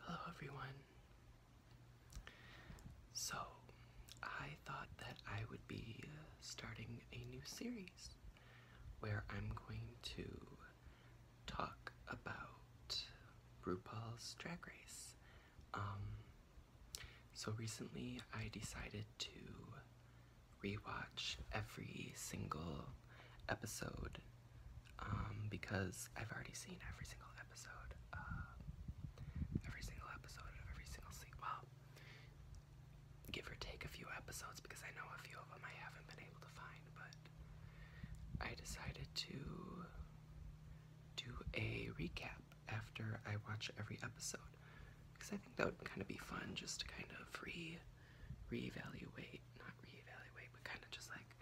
Hello everyone. So, I thought that I would be uh, starting a new series where I'm going to talk about RuPaul's Drag Race. Um, so recently I decided to rewatch every single episode um, because I've already seen every single episode, uh, every single episode of every single season. Well, give or take a few episodes because I know a few of them I haven't been able to find, but I decided to do a recap after I watch every episode because I think that would kind of be fun just to kind of re reevaluate, not reevaluate, but kind of just like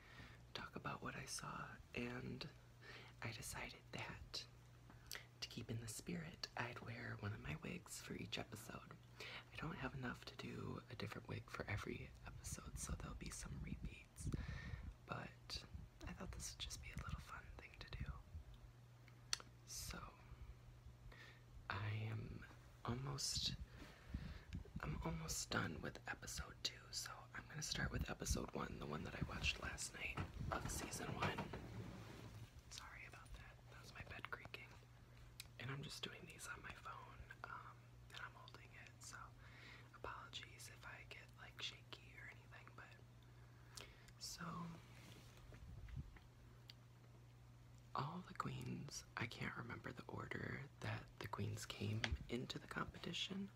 talk about what I saw, and I decided that to keep in the spirit, I'd wear one of my wigs for each episode. I don't have enough to do a different wig for every episode, so there'll be some repeats, but I thought this would just be a little fun thing to do. So, I am almost I'm almost done with episode two, so I'm gonna start with episode one, the one that I watched last night of season one. Sorry about that. That my bed creaking. And I'm just doing these on my phone, um, and I'm holding it, so apologies if I get like shaky or anything, but so all the queens I can't remember the order that the queens came into the competition,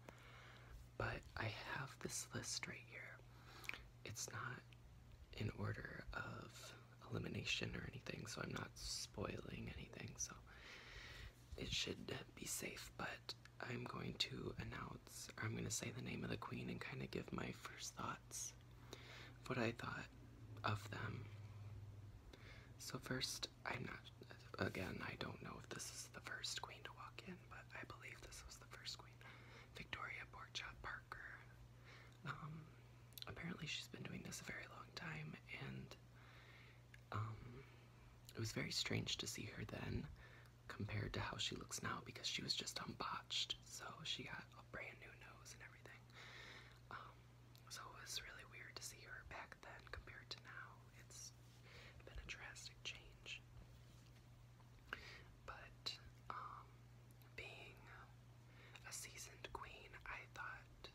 but I have this list right here. It's not in order of elimination or anything, so I'm not spoiling anything, so it should be safe, but I'm going to announce, or I'm going to say the name of the queen and kind of give my first thoughts of what I thought of them. So, first i I'm not, again, I don't know if this is the first queen to walk in, but I believe this was the first queen. Victoria Porchop Parker. Um, apparently she's been doing this a very long time, and um, it was very strange to see her then compared to how she looks now because she was just unbotched. So she got a brand new nose and everything. Um, so it was really weird to see her back then compared to now. It's been a drastic change. But um, being a seasoned queen, I thought,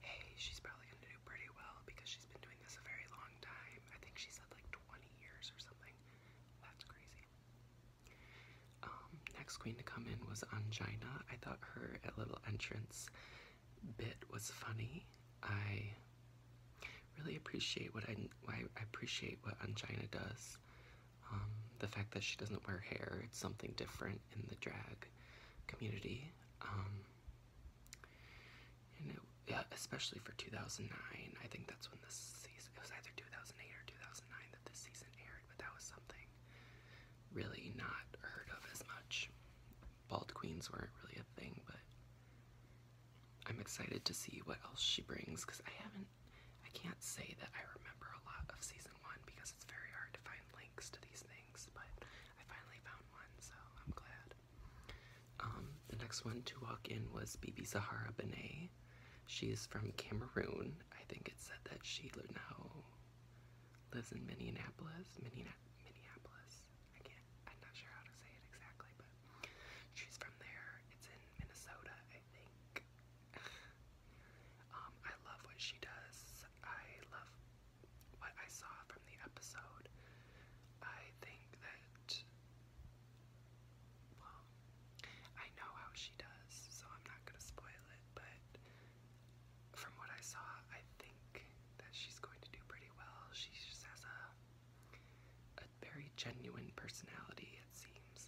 hey, she's probably going to do pretty well because she's been doing this a very long time. I think she said like 20 years or something. That's crazy. Um, next queen to come in was Angina. I thought her a little entrance bit was funny. I really appreciate what I, appreciate what Angina does. Um, the fact that she doesn't wear hair, it's something different in the drag community. Um, and especially for 2009, I think that's when this season, it was either 2008 or 2009 that this season aired, but that was something really not heard of as much bald queens weren't really a thing, but I'm excited to see what else she brings because I haven't, I can't say that I remember a lot of season one because it's very hard to find links to these things, but I finally found one, so I'm glad. Um, the next one to walk in was Bibi Zahara Benet. She's from Cameroon. I think it said that she now lives in Minneapolis. Minneapolis. Minneapolis. I can't. I'm not sure how to say it exactly, but she's from there. It's in Minnesota, I think. um, I love what she does. I love what I saw from the episode. I think that. Well, I know how she does, so I'm not gonna spoil it, but from what I saw, I think that she's going to do pretty well. She just has a, very genuine personality, it seems.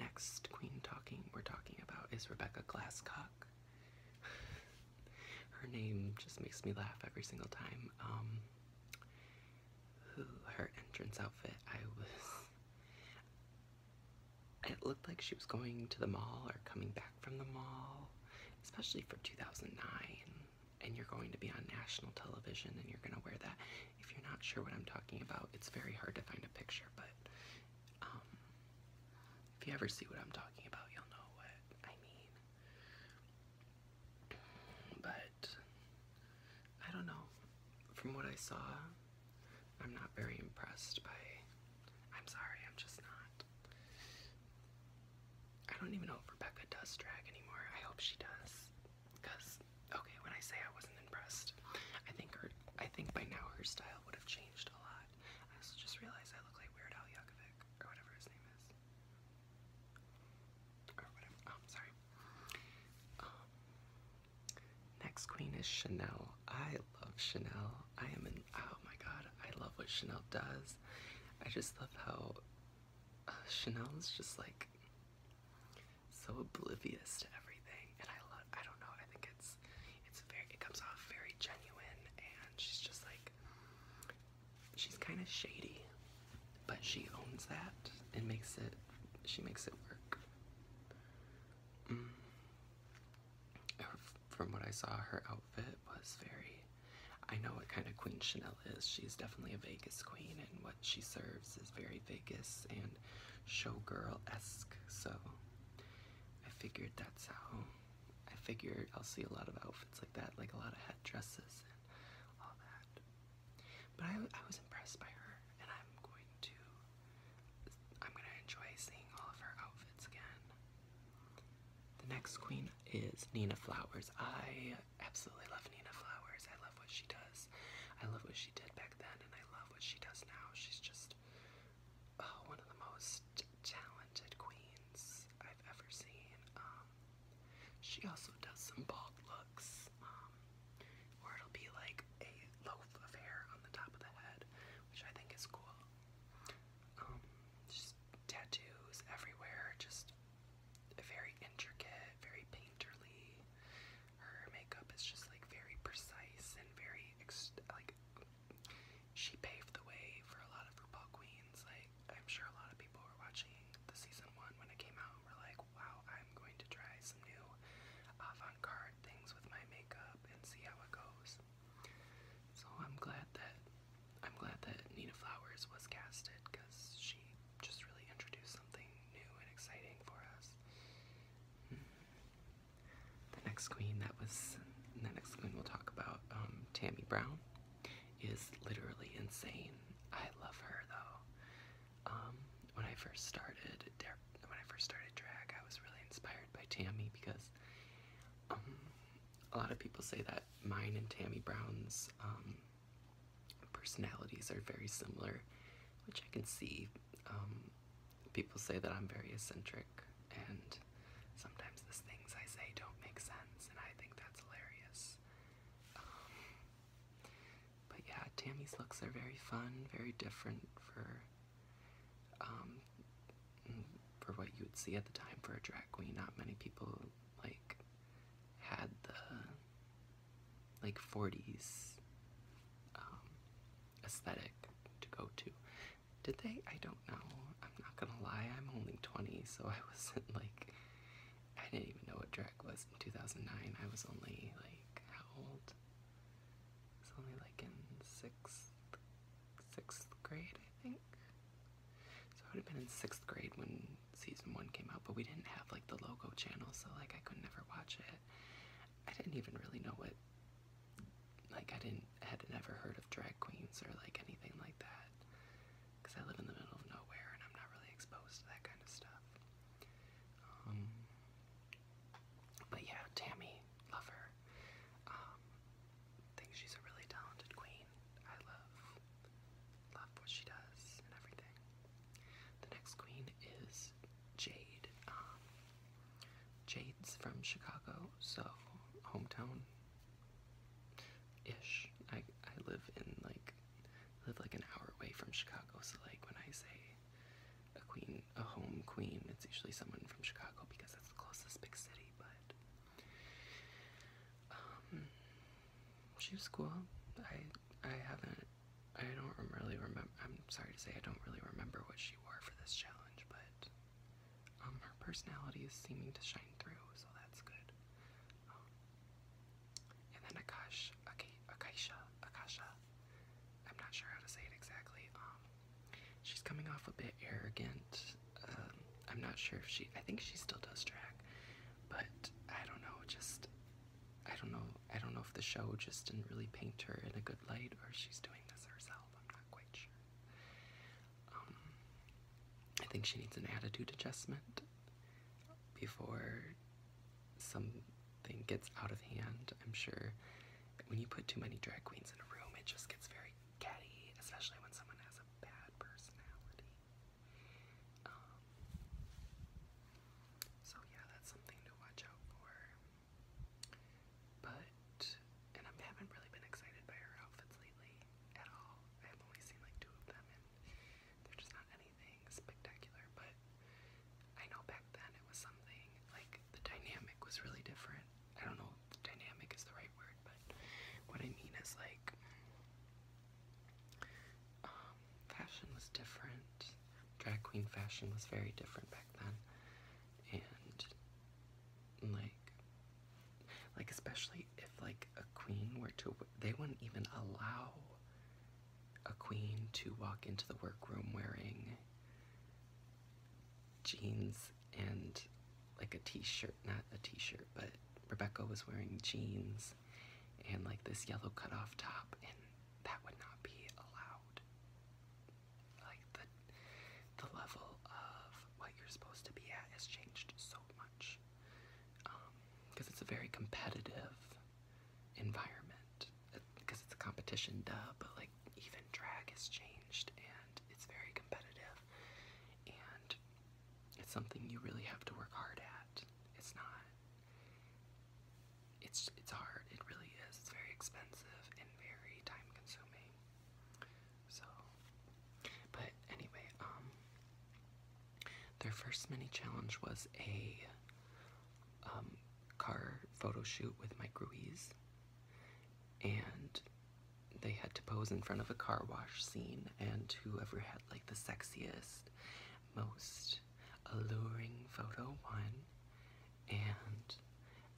Next queen talking we're talking about is Rebecca Glasscock. her name just makes me laugh every single time. Um, her entrance outfit, I was it looked like she was going to the mall or coming back from the mall, especially for 2009. And you're going to be on national television and you're going to wear that. If you're not sure what I'm talking about, it's very hard to find a picture, but um, if you ever see what I'm talking about, you'll know what I mean. But I don't know. From what I saw, I'm not very impressed by. I'm sorry, I'm just not. I don't even know if Rebecca does drag anymore. I hope she does. Cause okay, when I say I wasn't impressed, I think her I think by now her style would have changed a lot. I also just realized I look like Weird Al Yankovic or whatever his name is. Or whatever. Oh, I'm sorry. Um, next queen is Chanel. I love Chanel. I am an oh my god, I love what Chanel does. I just love how uh, Chanel is just like so oblivious to everything, and I love. I don't know. I think it's it's very. It comes off very genuine, and she's just like she's kind of shady, but she owns that and makes it. She makes it work. Mm from what I saw, her outfit was very. I know what kind of queen Chanel is. She's definitely a Vegas queen, and what she serves is very Vegas and showgirl esque. So I figured that's how. I figured I'll see a lot of outfits like that, like a lot of head dresses and all that. But I, I was impressed by her, and I'm going to I'm gonna enjoy seeing all of her outfits again. The next queen is Nina Flowers. I absolutely love Nina Flowers. I love what she does. I love what she did back then, and I love what she does now. She's just oh, one of the most talented queens I've ever seen. Um, she also does some bold looks, or um, it'll be like a of hair on the top of the head, which I think is cool. Um, just tattoos everywhere, just very intricate, very painterly. Her makeup is just like very precise and very like she paved the way for a lot of RuPaul queens. Like I'm sure a lot of people were watching the season one when it came out. And were like, wow, I'm going to try some new avant-garde things with my makeup and see how it goes. So I'm glad that I'm glad that Nina Flowers was casted because she just really introduced something new and exciting for us. Hmm. The next queen that was the next queen we'll talk about, um, Tammy Brown, is literally insane. I love her though. Um, when I first started when I first started drag, I was really inspired by Tammy because um, a lot of people say that mine and Tammy Brown's um, personalities are very similar, which I can see. Um, people say that I'm very eccentric, and sometimes the things I say don't make sense, and I think that's hilarious. but yeah, Tammy's looks are very fun, very different for um, for what you would see at the time for a drag queen. Not many people like had the like 40s um, aesthetic to go to. Did they? I don't know. I'm not gonna lie. I'm only 20, so I wasn't like I didn't even know what drag was in 2009. I was only like how old? It's only like in sixth sixth grade, I think. So I would have been in sixth grade when season one came out, but we didn't have like the logo channel, so like I could never watch it. I didn't even really know what like I didn't had never heard of drag queens or like anything like that because I live in the middle of nowhere and I'm not really exposed to that kind of stuff. Um, but yeah, Tammy, love her. Um, think she's a really talented queen. I love, love what she does and everything. The next queen is Jade. Um, Jade's from Chicago, so hometown ish. I I live in like live like an hour away from Chicago, so like when I say a queen, a home queen. It's usually someone from Chicago because that's the closest big city, but um she was cool. I I haven't I don't really remember I'm sorry to say I don't really remember what she wore for this challenge, but um her personality is seeming to shine through, so that's good. Um, and then Akash Ak Akasha Akasha. I'm not sure how to say it exactly. Um She's coming off a bit arrogant. Um, I'm not sure if she. I think she still does drag, but I don't know. Just I don't know. I don't know if the show just didn't really paint her in a good light, or she's doing this herself. I'm not quite sure. Um, I think she needs an attitude adjustment before some thing gets out of hand, I'm sure. When you put too many drag queens in a room, it just gets very catty, especially when someone has a bad personality. Um, so, yeah, that's something to watch out for. But, and I haven't really been excited by her outfits lately at all. I've only seen like two of them, and they're just not anything spectacular, but I know back then it was something like the dynamic was really different. I don't know dynamic is the right word, but what I mean is like um, fashion was different. Drag queen fashion was very different back then, and like, like especially if like a queen were to, they wouldn't even allow a queen to walk into the workroom wearing jeans and like a t-shirt, not a t-shirt, but Rebecca was wearing jeans and like this yellow cutoff top, and that would not be allowed. Like the the level of what you're supposed to be at has changed so much because um, it's a very competitive environment because it's a competition, duh, but like even drag has changed and it's very competitive and it's something you really have to work hard at. It's not it's it's hard, it really is. It's very expensive and very time consuming. So but anyway, um their first mini challenge was a um car photo shoot with Mike Ruiz, and they had to pose in front of a car wash scene, and whoever had like the sexiest, most alluring photo won. And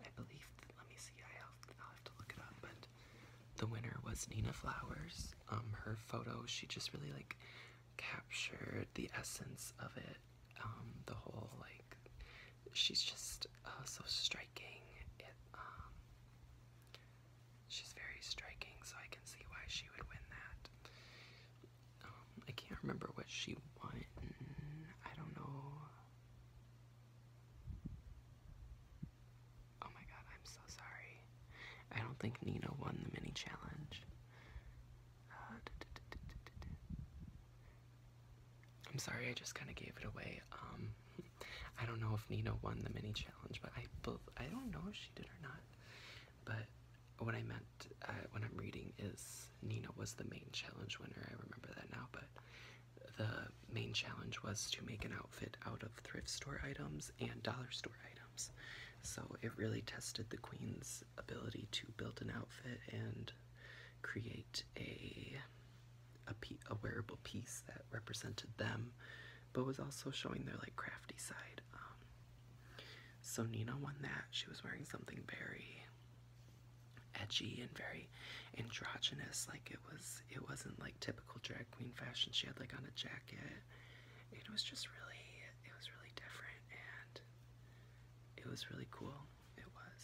I believe, let me see, I have, I'll have to look it up, but the winner was Nina Flowers. Um, her photo, she just really like captured the essence of it um, the whole like she's just uh, so striking. Um, she's very striking, so I can see why she would win that. Um, I can't remember what she won. I don't know. Oh my god, I'm so sorry. I don't think Nina won the mini challenge. I'm sorry, I just kind of gave it away. Um, I don't know if Nina won the mini challenge, but I both I don't know if she did or not. But what I meant uh, when I'm reading is Nina was the main challenge winner. I remember that now, but the main challenge was to make an outfit out of thrift store items and dollar store items. So it really tested the queen's ability to build an outfit and create a a, wearable piece that represented them, but was also showing their like crafty side. Um, so Nina won that. She was wearing something very edgy and very androgynous. Like it was, it wasn't like typical drag queen fashion. She had like on a jacket. It was just really, it was really different, and it was really cool it was.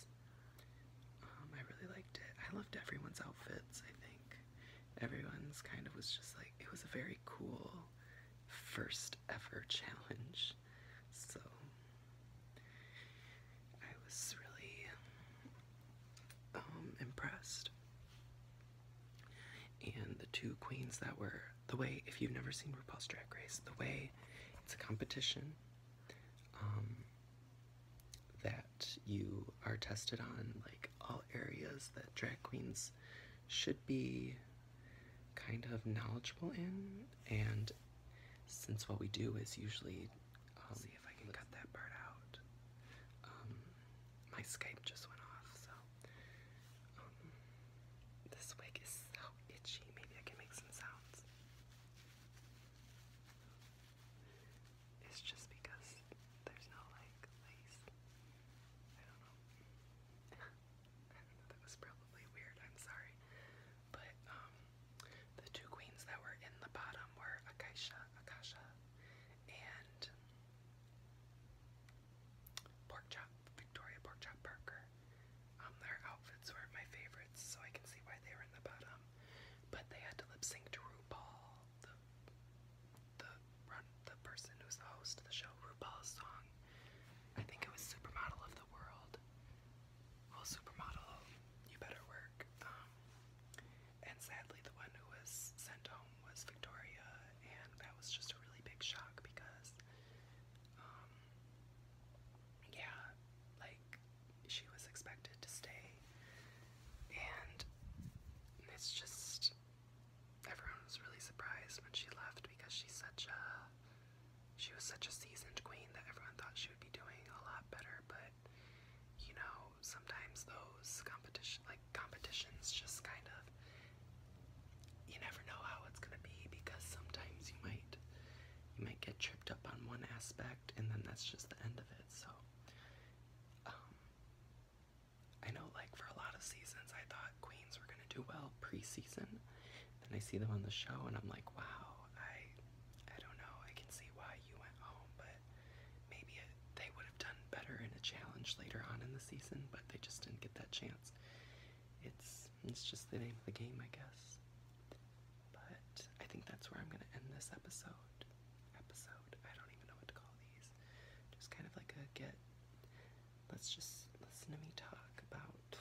Um, I really liked it. I loved everyone's outfits, I think. Everyone's kind of was just like, it was a very cool first ever challenge. So, I was really um, impressed. And the two queens that were the way, if you've never seen RuPaul's Drag Race, the way it's a competition um, that you are tested on, like all areas that drag queens should be kind of knowledgeable in. And since what we do is usually, I'll um, see if I can cut that part out. Um, my Skype just went off, so this wig is so itchy. Maybe I can make some sounds. It's just because there's no like lace. I don't know. that was probably weird, I'm sorry. But um, the two queens that were in the bottom were Akasha, Akasha and Porkchop, Victoria Porkchop Parker. Um, their outfits were my favorites, so I can see why they were in the bottom. But they had to lip sync to RuPaul, the the the person who's the host of the show, RuPaul's song. I think it was Supermodel of the World. Well, Supermodel, you better work. Um, and sadly, the one who was sent home was Victoria, and that was just a really big shock because um, yeah, like she was expected to stay, and it's just everyone was really surprised when she left because she's such a she was such a seasoned queen that everyone thought she would be doing a lot better, but you know, sometimes those competition like competitions just kind of you never know how it's gonna be because sometimes you might you might get tripped up on one aspect and then that's just the end of it. So, um, I know, like, for a lot of seasons, I thought Queens were gonna do well preseason. and I see them on the show and I'm like, wow, I, I don't know, I can see why you went home, but maybe they would have done better in a challenge later on in the season, but they just didn't get that chance. It's it's just the name of the game, I guess. But I think that's where I'm going to end this episode. Episode. I don't even know what to call these. Just kind of like a get. Let's just listen to me talk about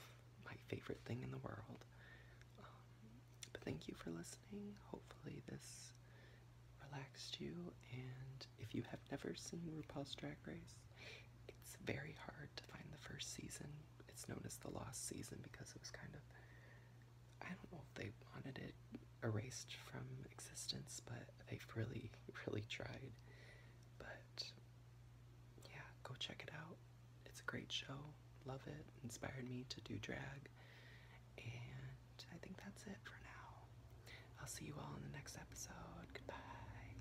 my favorite thing in the world. Um, but thank you for listening. Hopefully, this relaxed you. And if you have never seen RuPaul's Drag Race, it's very hard to find the first season it's known as the lost season because it was kind of I don't know if they wanted it erased from existence, but they've really, really tried. But yeah, go check it out. It's a great show. Love it. Inspired me to do drag. And I think that's it for now. I'll see you all in the next episode. Goodbye.